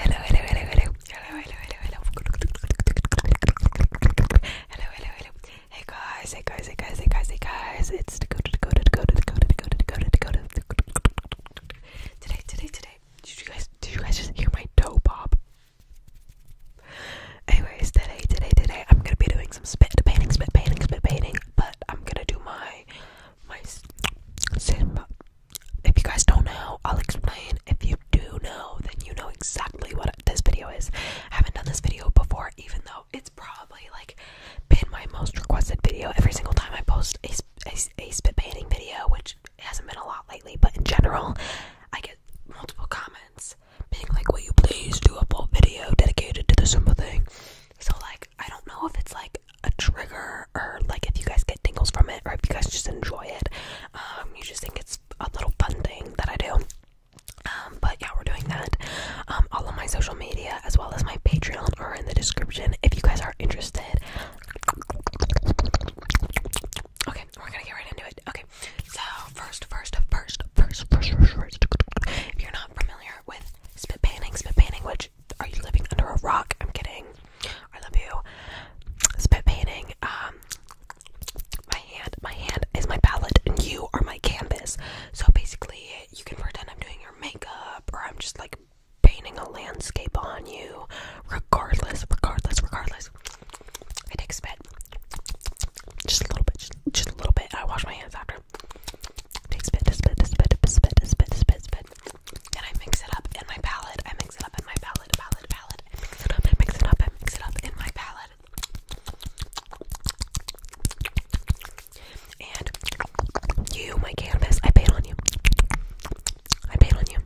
Hello, hello, hello, hello. Hello, hello, hello, hello. Hello, hello, hello. Hey guys, hey guys, hey guys, hey guys, hey guys. It's the go to the go to the go to the go to the go to the go to the go to the go to Today, today, today. Did you guys did you guys just hear my toe pop? Anyways, today, today, today, I'm gonna be doing some spit painting, spit painting, spit painting, but I'm gonna do my my Simba if you guys don't know, I'll explain. If you do know, then you know exactly what this video is. I haven't done this video before, even though it's probably like been my most requested video every single time I post a, a, spit painting video, which hasn't been a lot lately, but in general, I get multiple comments being like, Will you please do a full video dedicated to this simple thing? So, like, I don't know if it's like a trigger or like if you guys get tingles from it or if you guys just enjoy it um you just think it's a little fun thing that i do um but yeah we're doing that um all of my social media as well as my patreon are in the description if you guys are interested okay we're gonna get right into it okay so first first first first first first, first. if you're not familiar with spit painting spit painting which are you living under a rock? I'm kidding. I love you. Spit painting. Um, my hand, my hand is my palette, and you are my canvas. So basically, you can pretend I'm doing your makeup, or I'm just like painting a landscape on you. Regardless, regardless, regardless. spit, just a little bit, just, a little bit. I wash my hands after. spit, spit, spit, spit, spit, spit, spit, spit and I mix it up in my palette. I mix it up in my palette, palette, palette. I mix it up, I mix it up, I mix it up in my palette. And you, my canvas, I paid on you. I paid on you.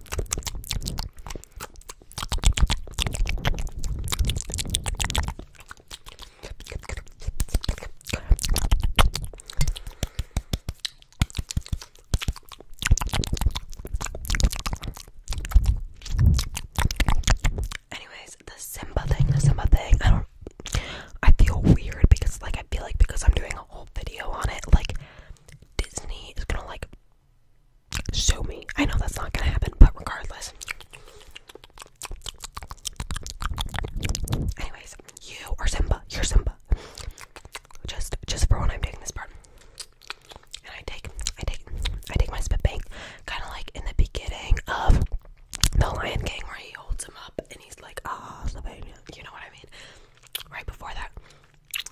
Anyways, the Simba thing, the Simba thing, I don't I feel weird because like I feel like because I'm doing a whole video on it, like Disney is gonna like sue me. I know that's not gonna happen, but regardless. Anyways, you are Simba. You're Simba just just for when I'm taking this part. And I take I take I take my spit bank kind of like in the beginning of The Lion King where he holds him up and he's like ah oh, Slovenia, you know what I mean? Right before that,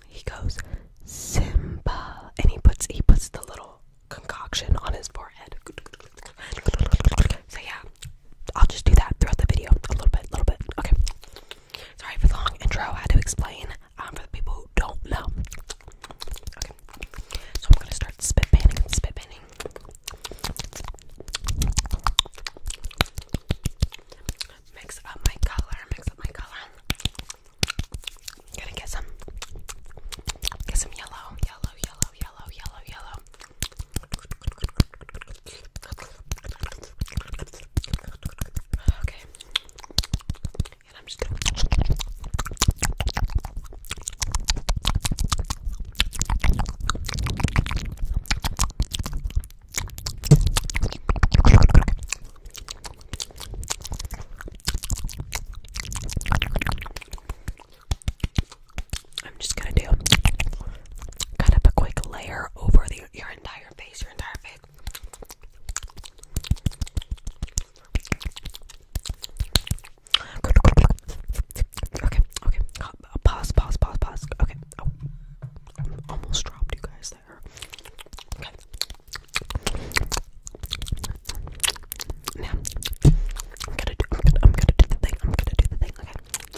he goes Simba and he puts he puts the little concoction on his forehead. So yeah, I'll just do that throughout the video a little bit, a little bit. Okay. Sorry for the long intro. I had to explain um, for the people who don't know. Okay. So I'm gonna start spit painting, spit painting. Mix up my color. Mix up my color. gonna get some, get some yellow, yellow, yellow, yellow, yellow, yellow. Okay. And I'm just gonna I'm just gonna do cut up a quick layer over the, your entire face, your entire face. Okay, okay. Pause, pause, pause, pause. Okay. I oh, almost dropped you guys there. Okay. Now I'm gonna do. I'm gonna do the thing. I'm gonna do the thing. Okay.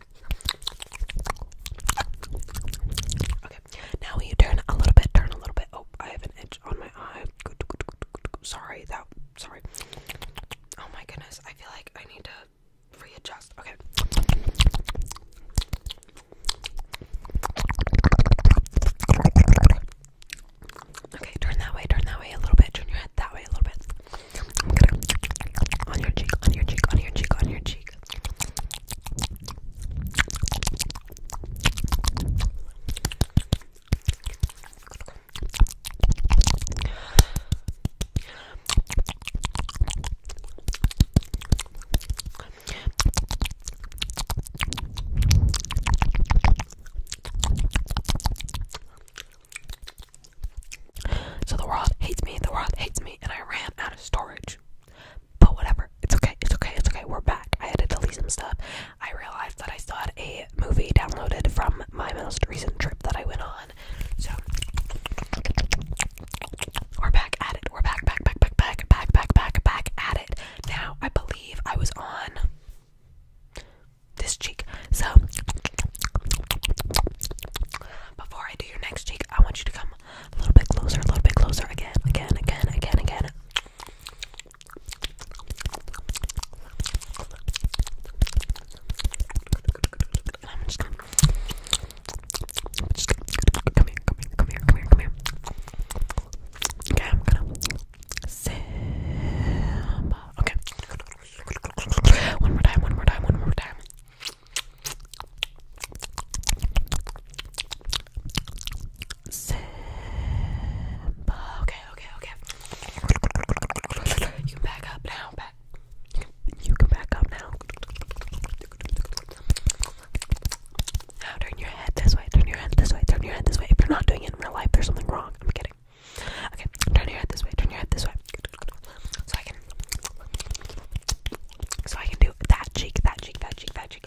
Okay, now you turn a little bit, turn a little bit. Oh, I have an itch on my eye. Sorry, that, sorry. Oh my goodness, I feel like I need to readjust. Okay. Okay, turn that way, turn that way a little bit, turn your head that way a little bit. I'm gonna on your cheek, on your cheek, on your cheek, on your cheek. So the world hates me, the world hates me, and I ran out of storage. But whatever, it's okay, it's okay, it's okay, we're back. I had to delete some stuff. I realized that I still had a movie downloaded from my most recent trip that I went on. So we're back at it. We're back, back, back, back, back, back, back, back, back at it. Now I believe I was on this cheek. So before I do your next cheek, I want you to come a little bit closer, a little bit closer again, again, again, again, again. Okay, I'm gonna Simba. Okay. One more time, one more time, one more time. Simba. Okay, okay, okay. You can back up now. Back. you can back up now. Now turn your head this way. Turn your head this way. Turn your head this way. If you're not doing it in real life, there's something wrong. I'm kidding. Okay, turn your head this way, turn your head this way. So I can So I can do that cheek, that cheek, that cheek, that cheek.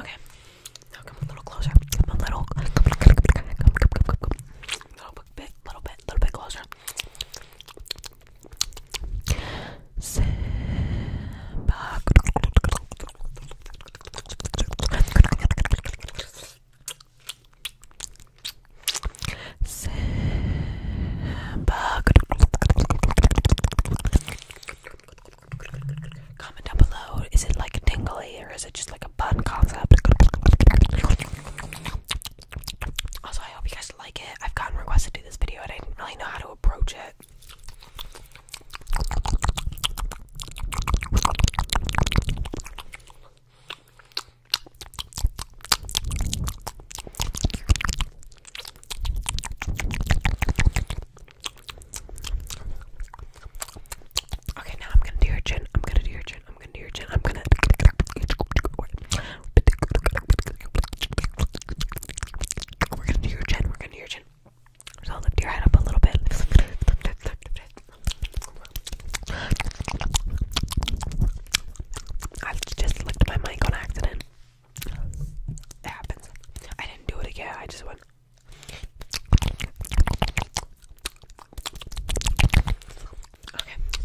Okay, now come a little closer. Come a little, come, come, come, come, come, come, come. little bit, little bit, little bit closer. Simba. Comment down below. Is it like a tingly or is it just like a bun concept? Also, I hope you guys like it. I've gotten requests to do this video and I didn't really know how to approach it. Okay, now I'm gonna do your chin. I'm gonna do your chin. I'm gonna do your chin. I'm gonna. We're gonna do your chin. We're gonna do your chin. So lift your head up a little bit. Lift, lift, lift, lift, lift, lift. I just licked my mic on accident. It happens. I didn't do it again. I just went. Okay.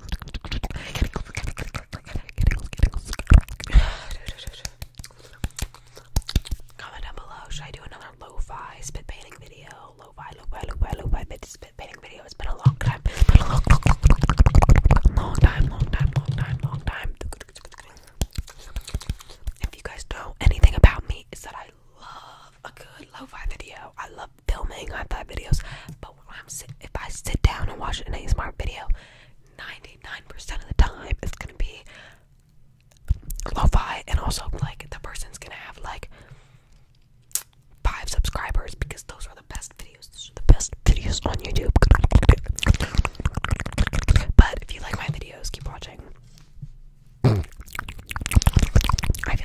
Comment down below. Should I do another lo spit painting video? Lo-fi, lo-fi, lo-fi, lo-fi spit painting video. It's been a long time. long, time, long time, long time, long time. If you guys know anything about me, it's that I love a good lo-fi video. I love filming high-five videos, but I'm if I sit down and watch an ASMR video, 99% of the time it's gonna be lo-fi, and also like the person's gonna have like five subscribers because those are the best videos. the best videos on YouTube. But if you like my videos, keep watching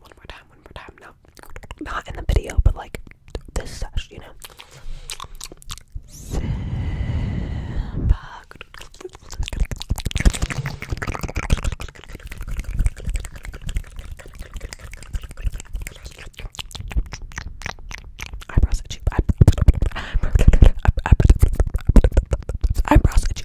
one more time, one more time. Not, not in the video, but like this you know. Simba. Eyebrows itchy. Eyebrows itchy. Eyebrows itchy.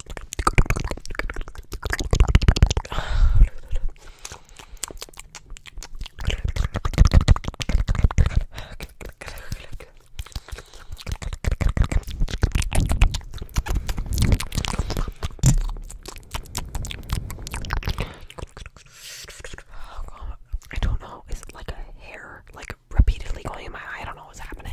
I don't know. Is it like a hair like repeatedly going in my eye? I don't know what's happening.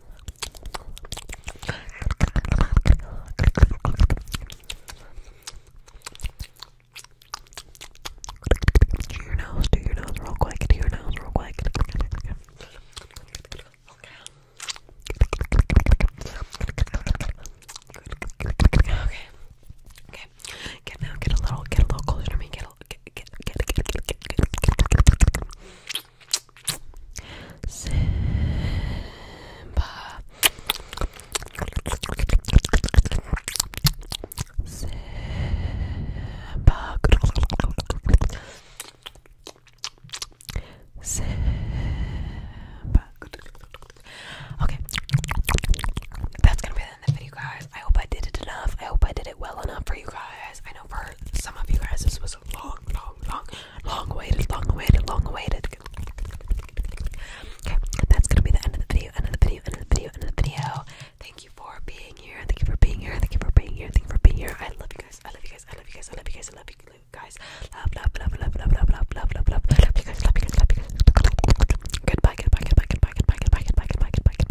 Do your nose, do your nose real quick, do your nose real quick. Okay. Okay. Get now, get a little, get a little closer to me, get a, Simba. Simba. Simba. Okay, that's gonna be the video, guys. I hope I did it enough. I hope I did it well enough for you guys. I know for some of you guys this was a long, long, long, long awaited, long awaited, long awaited. Okay, that's gonna be the end of the video, end of the video, end of the video, end of the video. Thank you for being here. Thank you for being here. Thank you for being here. Thank you for being here. I love you guys. I love you guys. I love you guys. I love you guys. I love you guys. Love, love, love, love, love, love, love, love, love, love. Love you guys. Love you guys. Love you guys. Goodbye. Goodbye. Goodbye. Goodbye. Goodbye. Goodbye. Goodbye. Goodbye. Goodbye. Goodbye. Goodbye.